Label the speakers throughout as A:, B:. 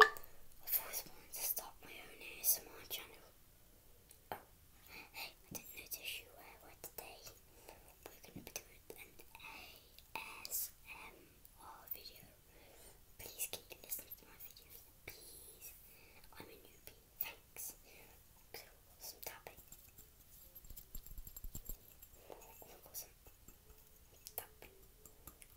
A: I've always wanted to start my own ASMR channel. Oh, hey, I didn't notice you were aware today. We're going to be doing an ASMR video. Please keep listening to my videos. Please. I'm a newbie. Thanks. So, some tapping. Oh,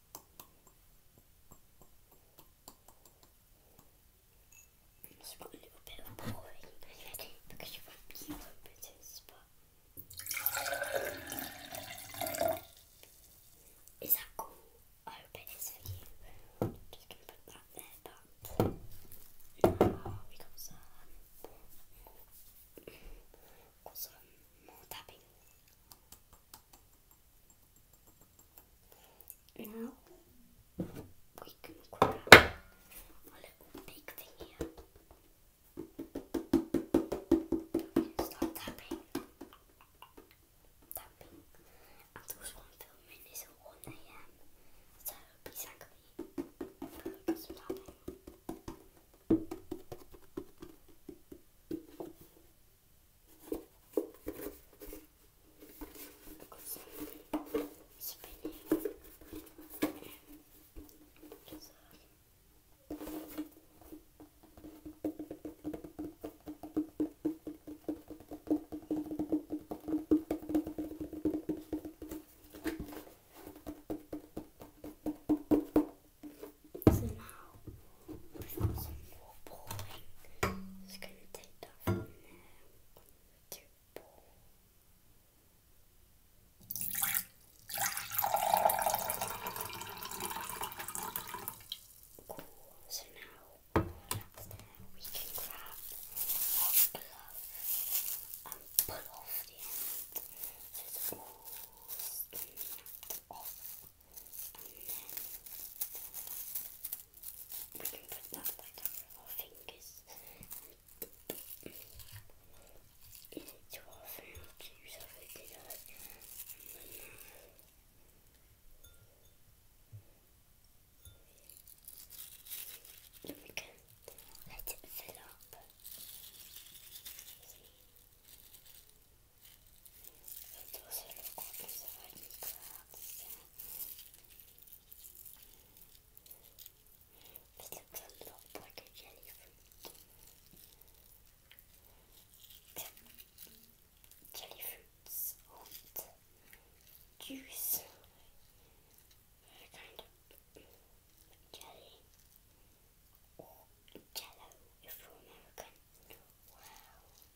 A: it a little bit of because you won't, you will Is that cool? I hope it is for you. just going to put that there, but we got some more tapping. Now we can grab a little big thing here. We tapping. Tapping. And there one filming is at 1 am. So please thank me. tapping. Because I'm spinning and just uh, so now I've Just going to take that from there. Two ball. Cool. So now We can grab our glove and pull off the end. it's off then we can put that right over our fingers into our food juice we can let it fill up. Это уже легко образование кажется. Слегка больше телефон. Jellyfruits und Juice. A kind of jelly or jello if you're American. Wow.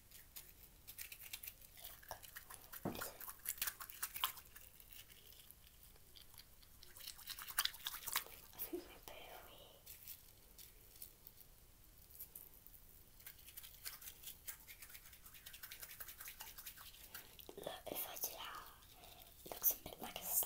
A: I think my berry. Look, if I do that, looks a bit like a slug.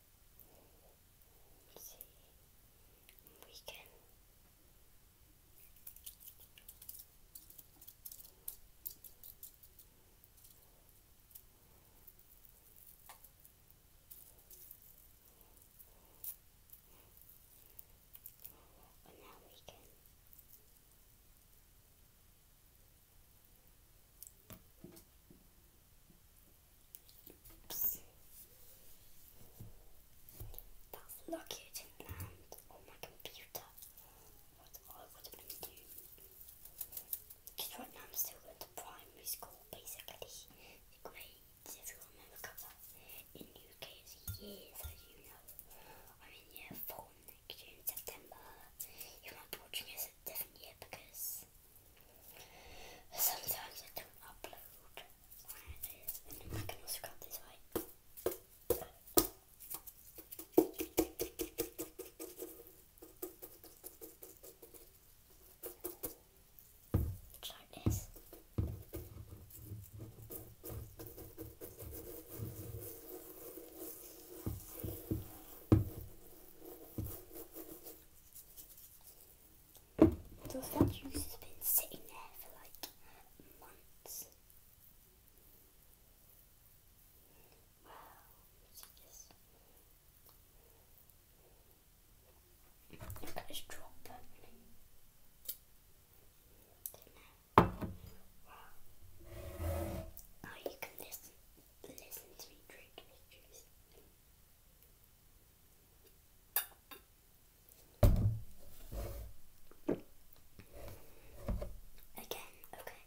A: see we can and now we can Oops. That's lucky it land oh, on my computer. What I would have been doing. Because right now I'm still going primary school, basically. The grades, if you remember, in UK it's years, as you know. I'm in year four next year in September. You might be watching this different year because Sometimes I don't upload I can also cut this way. Just this. The statues has been sitting there for like months. Wow, see this? Look at this drop Now you can listen, listen to me drink pictures. Again, okay.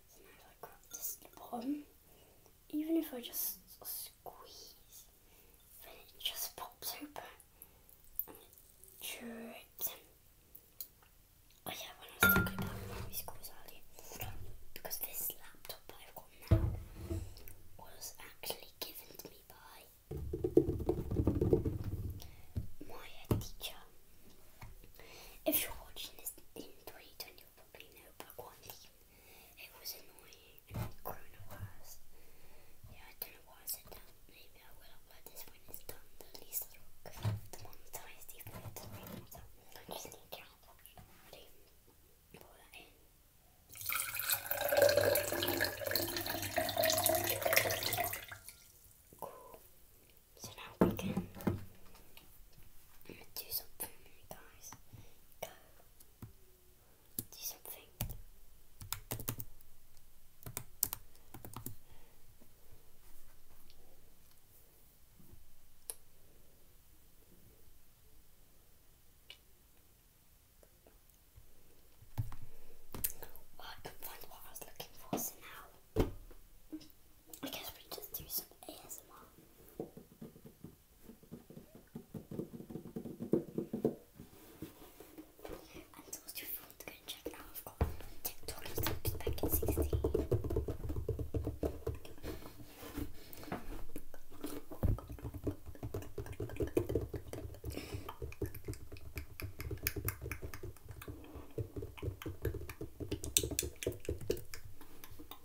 A: Even if I just squeeze, then it just pops open Oh yeah, when I was talking about memory schools earlier, because this laptop I've got now was actually given to me by my teacher. If you're watching this in 2021, it was annoying and coronavirus. Yeah, I don't know why I said that. Maybe I will upload this when it's done, at least I'll monetize the later. So I just need to already pour that in. Cool. So now we can do something, guys. Go. Do something. I can find what I was looking for, so now I guess we just do some ASMR. And it's also to go and check it I've got TikTok and back at 16.